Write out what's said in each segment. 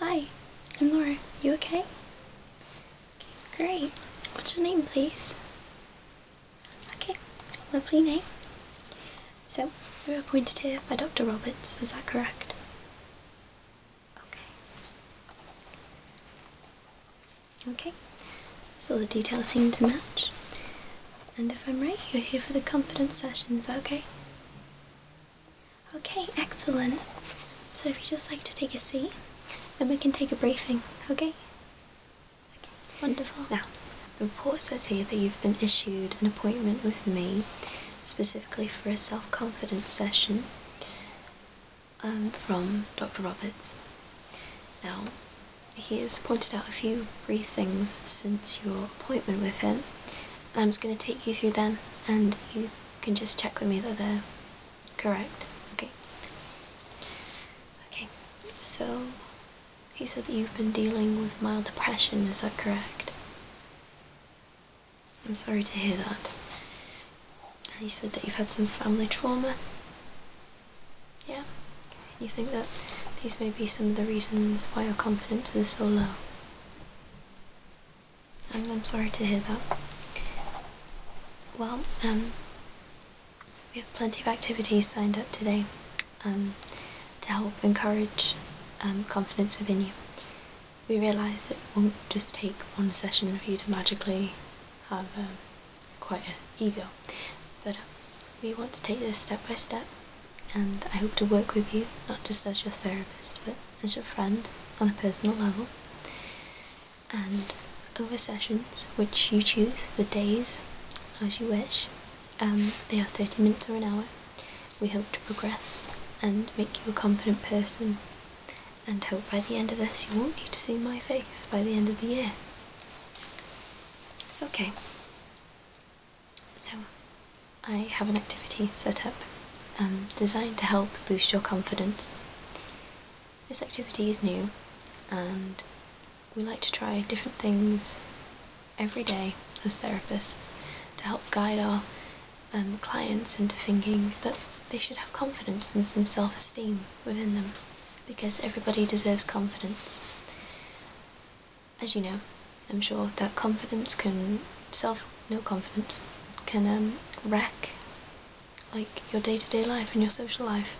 Hi, I'm Laura. You okay? Great. What's your name, please? Okay, lovely name. So, you were appointed here by Dr. Roberts, is that correct? Okay. Okay, so the details seem to match. And if I'm right, you're here for the confidence session, is that okay? Okay, excellent. So if you would just like to take a seat, then we can take a briefing, okay? Okay, wonderful. Now, the report says here that you've been issued an appointment with me specifically for a self-confidence session um, from Dr. Roberts. Now, he has pointed out a few brief things since your appointment with him I'm just going to take you through them and you can just check with me that they're correct. Okay. Okay, so he said that you've been dealing with mild depression, is that correct? I'm sorry to hear that. And you said that you've had some family trauma. Yeah? You think that these may be some of the reasons why your confidence is so low. I'm, sorry to hear that. Well, um, we have plenty of activities signed up today um, to help encourage um, confidence within you. We realise it won't just take one session for you to magically have quite an ego, but uh, we want to take this step by step and I hope to work with you, not just as your therapist, but as your friend on a personal level. And over sessions, which you choose, the days as you wish, um, they are 30 minutes or an hour. We hope to progress and make you a confident person, and hope by the end of this you won't need to see my face by the end of the year. Okay. So, I have an activity set up um, designed to help boost your confidence. This activity is new and we like to try different things every day as therapists to help guide our um, clients into thinking that they should have confidence and some self esteem within them because everybody deserves confidence as you know, I'm sure that confidence can self no confidence can um, wreck like your day-to-day -day life and your social life,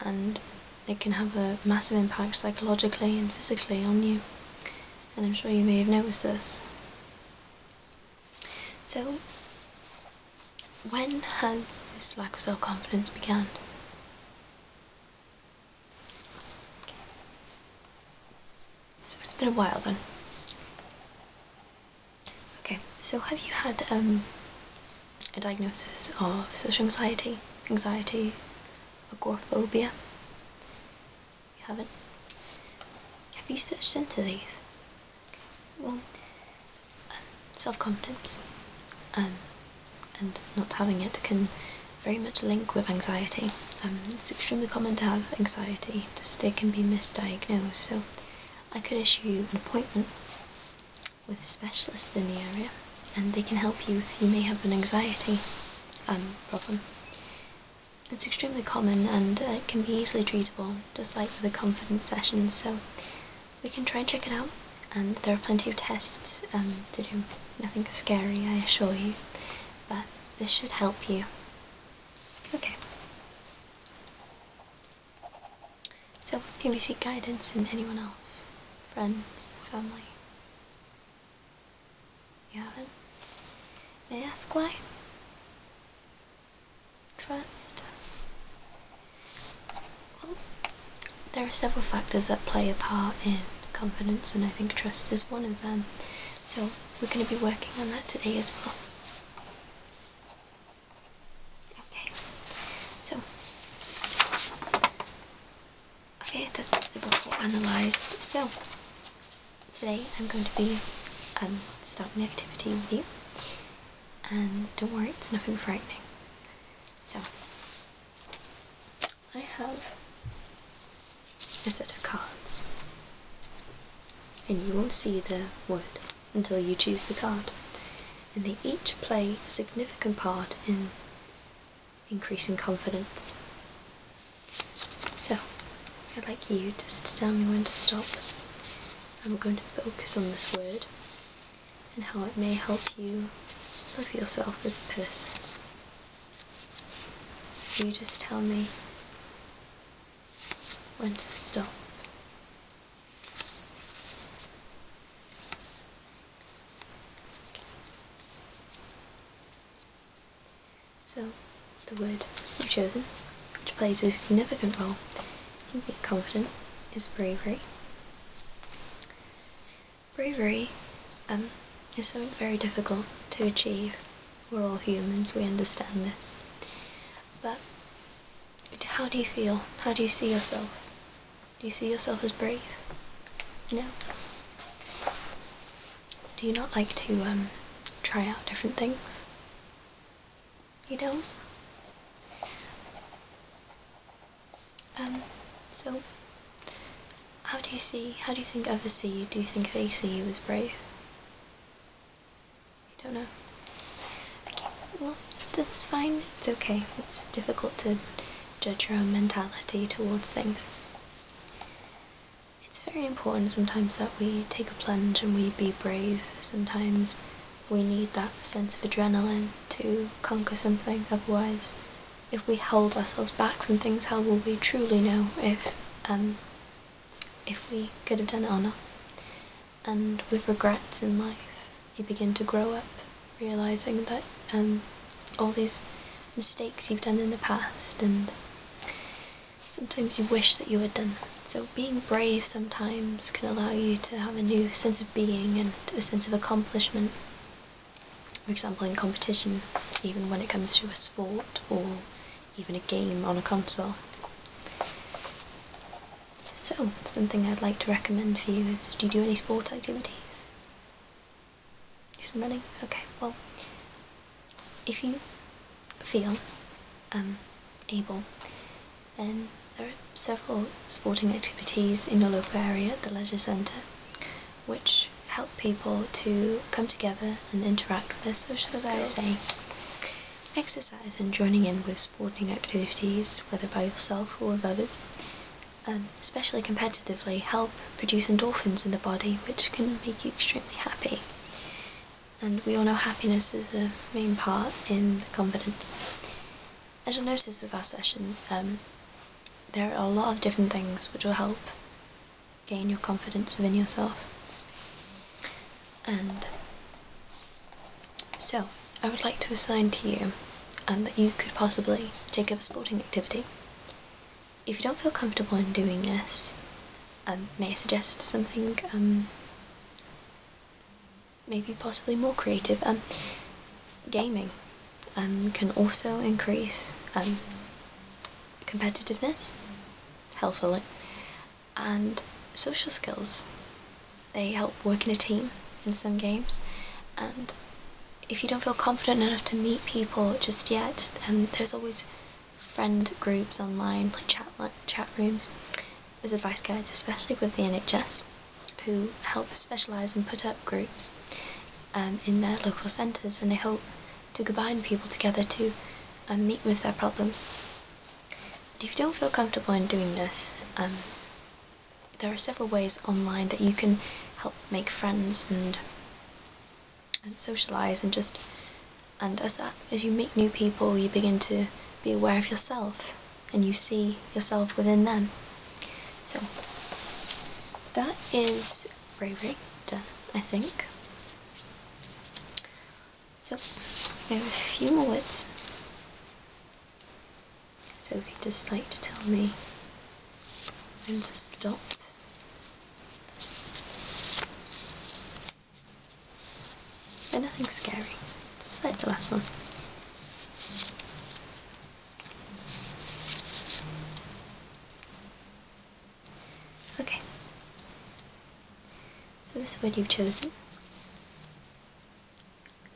and it can have a massive impact psychologically and physically on you. And I'm sure you may have noticed this. So, when has this lack of self confidence began? So it's been a while then. Okay, so have you had um, a diagnosis of social anxiety, anxiety, agoraphobia? haven't? Have you searched into these? Well, um, self confidence, um, and not having it can very much link with anxiety. Um, it's extremely common to have anxiety. This can be misdiagnosed, so I could issue you an appointment with specialists in the area, and they can help you if you may have an anxiety um, problem. It's extremely common and uh, it can be easily treatable, just like with the confidence sessions. so we can try and check it out. And there are plenty of tests um, to do Nothing scary, I assure you, but this should help you. Okay. So, here we seek guidance in anyone else friends, family. You haven't? May I ask why? Trust? Well, there are several factors that play a part in confidence, and I think trust is one of them. So, we're going to be working on that today as well. Okay, so okay, that's the bottle analysed. So, today I'm going to be um, starting the activity with you, and don't worry, it's nothing frightening. So, I have a set of cards. And you won't see the word until you choose the card. And they each play a significant part in increasing confidence. So, I'd like you just to tell me when to stop. And we're going to focus on this word and how it may help you love yourself as a person. So you just tell me when to stop. So, the word you've chosen, which plays a significant role in being confident, is bravery. Bravery um, is something very difficult to achieve. We're all humans, we understand this. But how do you feel? How do you see yourself? Do you see yourself as brave? No. Do you not like to um, try out different things? You don't? Um, so, how do you see, how do you think others see you? Do you think they see you as brave? You don't know? Okay, well, that's fine, it's okay. It's difficult to judge your own mentality towards things. It's very important sometimes that we take a plunge and we be brave. Sometimes we need that sense of adrenaline to conquer something, otherwise if we hold ourselves back from things, how will we truly know if um, if we could have done it or not? And with regrets in life, you begin to grow up, realizing that um, all these mistakes you've done in the past, and sometimes you wish that you had done them. So being brave sometimes can allow you to have a new sense of being and a sense of accomplishment for example in competition even when it comes to a sport or even a game on a console so something i'd like to recommend for you is do you do any sport activities do some running okay well if you feel um, able then there are several sporting activities in the local area, the leisure centre, which help people to come together and interact with their social so skills. Eh? exercise and joining in with sporting activities, whether by yourself or with others, um, especially competitively, help produce endorphins in the body, which can make you extremely happy. And we all know happiness is a main part in confidence as you'll notice with our session, um, there are a lot of different things which will help gain your confidence within yourself. And so, I would like to assign to you um, that you could possibly take up a sporting activity. If you don't feel comfortable in doing this, um, may I suggest something maybe possibly more creative. Um, gaming um, can also increase um, competitiveness, helpfully, and social skills. They help work in a team in some games, and if you don't feel confident enough to meet people just yet, um, there's always friend groups online, like chat, like chat rooms. There's advice guides, especially with the NHS who help specialise and put up groups um, in their local centres and they hope to combine people together to um, meet with their problems. if you don't feel comfortable in doing this, um, there are several ways online that you can help make friends and, socialise and just and as as you meet new people you begin to be aware of yourself and you see yourself within them. So that is Ray Ray done, I think. So we have a few more words. So if you just like to tell me when to stop. they nothing scary just like the last one. Okay, so this word you've chosen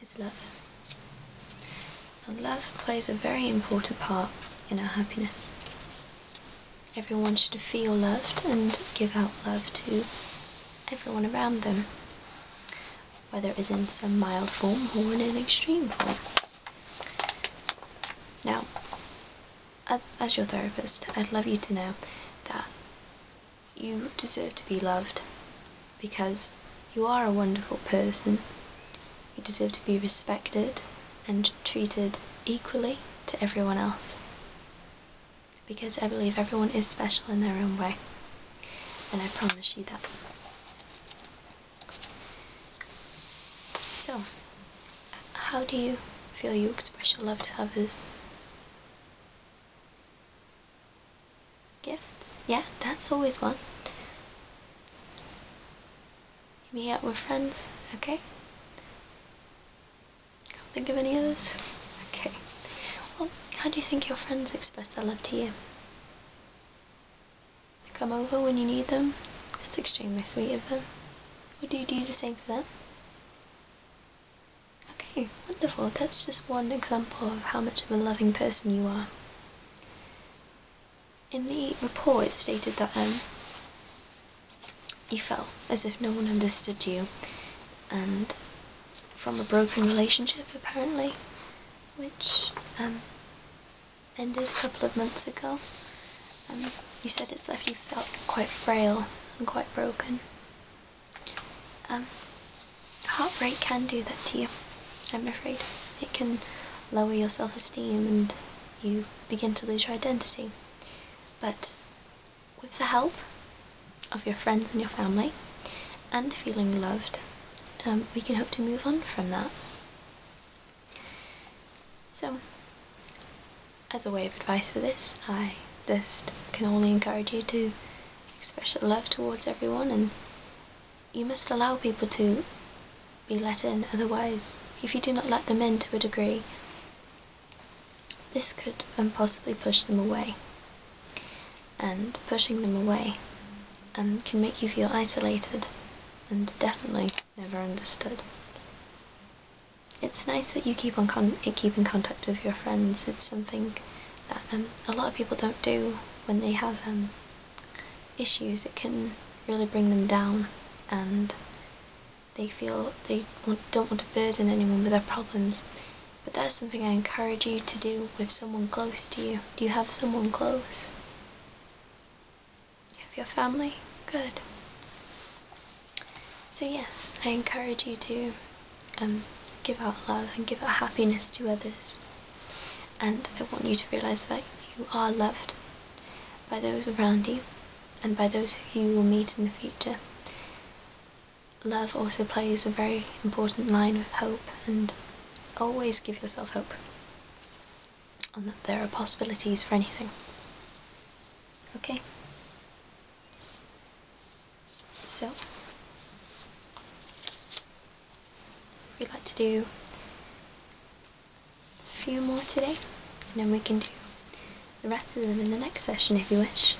is love. And love plays a very important part in our happiness. Everyone should feel loved and give out love to everyone around them. Whether it is in some mild form or in extreme form. Now, as, as your therapist, I'd love you to know that you deserve to be loved because you are a wonderful person. You deserve to be respected and treated equally to everyone else because I believe everyone is special in their own way, and I promise you that. So, how do you feel you express your love to others? Gifts? Yeah, that's always one. You meet up with friends, okay? Can't think of any others? okay. Well, how do you think your friends express their love to you? They come over when you need them. It's extremely sweet of them. Would you do the same for them? Okay, wonderful. That's just one example of how much of a loving person you are. In the report, it stated that um, you felt as if no one understood you and from a broken relationship apparently, which um, ended a couple of months ago. Um, you said it's left you felt quite frail and quite broken. Um, heartbreak can do that to you, I'm afraid. It can lower your self-esteem and you begin to lose your identity. But with the help of your friends and your family and feeling loved, um, we can hope to move on from that. So, as a way of advice for this, I just can only encourage you to express your love towards everyone and you must allow people to be let in, otherwise, if you do not let them in to a degree, this could um, possibly push them away, and pushing them away um, can make you feel isolated and definitely never understood. It's nice that you keep in contact with your friends. It's something that um, a lot of people don't do when they have issues. It can really bring them down, and they feel they don't want to burden anyone with their problems. But that's something I encourage you to do with someone close to you. Do you have someone close? have your family? Good. So, yes, I encourage you to um, give out love and give out happiness to others. And I want you to realise that you are loved by those around you and by those who you will meet in the future love also plays a very important line with hope, and always give yourself hope on that there are possibilities for anything. Okay? So, we'd like to do just a few more today, and then we can do the rest of them in the next session if you wish.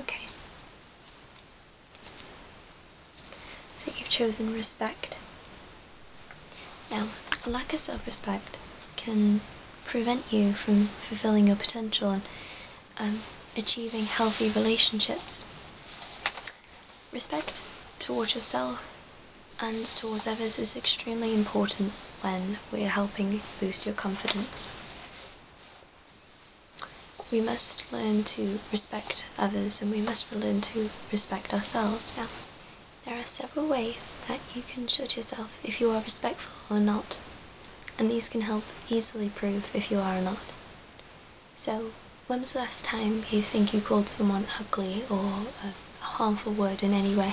Okay, so you've chosen respect. Now, a lack of self respect can prevent you from fulfilling your potential and um, achieving healthy relationships. Respect towards yourself and towards others is extremely important when we're helping boost your confidence we must learn to respect others and we must learn to respect ourselves. There are several ways that you can judge yourself if you are respectful or not, and these can help easily prove if you are or not. So, when was the last time you think you called someone ugly or a harmful word in any way?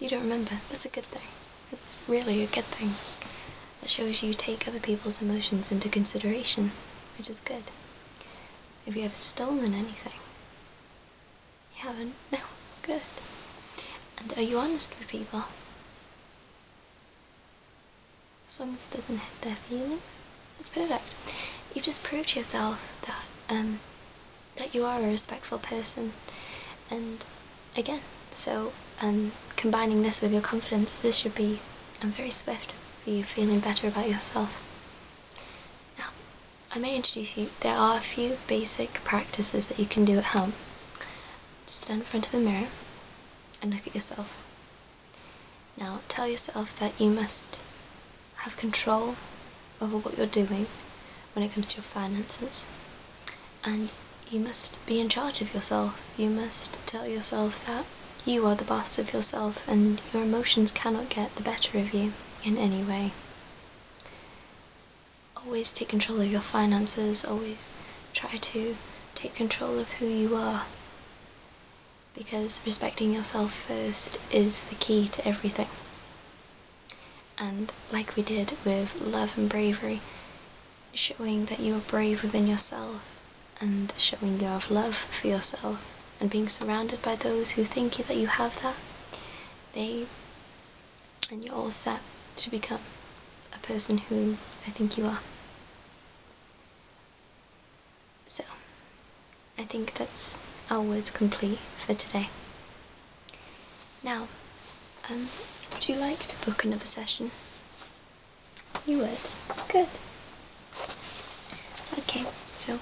You don't remember. That's a good thing. It's really a good thing. That shows you take other people's emotions into consideration, which is good. If you have stolen anything? You haven't? No. Good. And are you honest with people? As long as it doesn't hurt their feelings, that's perfect. You've just proved to yourself that um, that you are a respectful person and again so um, combining this with your confidence this should be a um, very swift for you feeling better about yourself now i may introduce you there are a few basic practices that you can do at home stand in front of a mirror and look at yourself now tell yourself that you must have control over what you're doing when it comes to your finances, and you must be in charge of yourself. You must tell yourself that you are the boss of yourself and your emotions cannot get the better of you in any way. Always take control of your finances, always try to take control of who you are. Because respecting yourself first is the key to everything. And like we did with love and bravery, showing that you are brave within yourself and showing you have love for yourself and being surrounded by those who think that you have that, they and you're all set to become a person who I think you are. So, I think that's our words complete for today. Now, um, would you like to book another session? You would? Good. Okay, so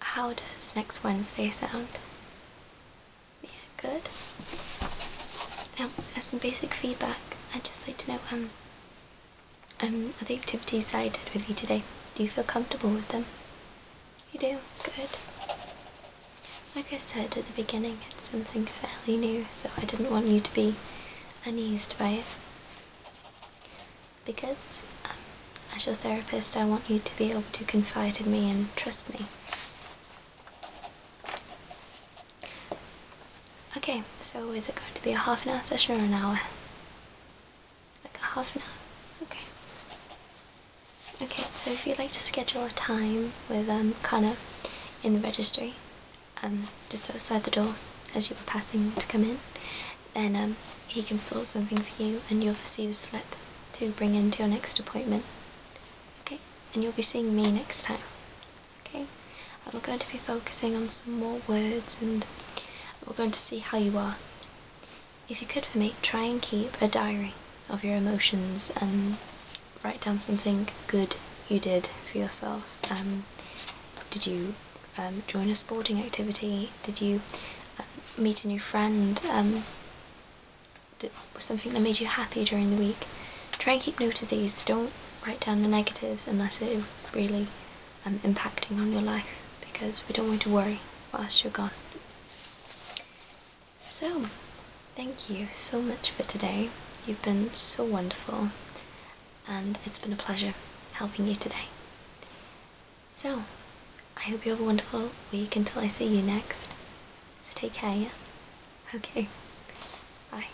how does next Wednesday sound? Yeah, good. Now, as some basic feedback, I'd just like to know um, um, are the activities I did with you today, do you feel comfortable with them? You do? Good. Like I said at the beginning, it's something fairly new, so I didn't want you to be uneased by it. Because, um, as your therapist, I want you to be able to confide in me and trust me. Okay, so is it going to be a half an hour session or an hour? Like a half an hour? Okay. Okay, so if you'd like to schedule a time with um, Connor in the registry, um, just outside the door as you were passing to come in, then um, he can sort something for you and you'll receive a slip to bring in to your next appointment. Okay, and you'll be seeing me next time. Okay, and we're going to be focusing on some more words and we're going to see how you are. If you could for me, try and keep a diary of your emotions and write down something good you did for yourself. Um, did you um, join a sporting activity? Did you um, meet a new friend? something that made you happy during the week? Try and keep note of these. Don't write down the negatives unless it is really um, impacting on your life because we don't want to worry whilst you're gone. So, thank you so much for today. You've been so wonderful and it's been a pleasure helping you today. So, I hope you have a wonderful week until I see you next. So take care, Okay. Bye.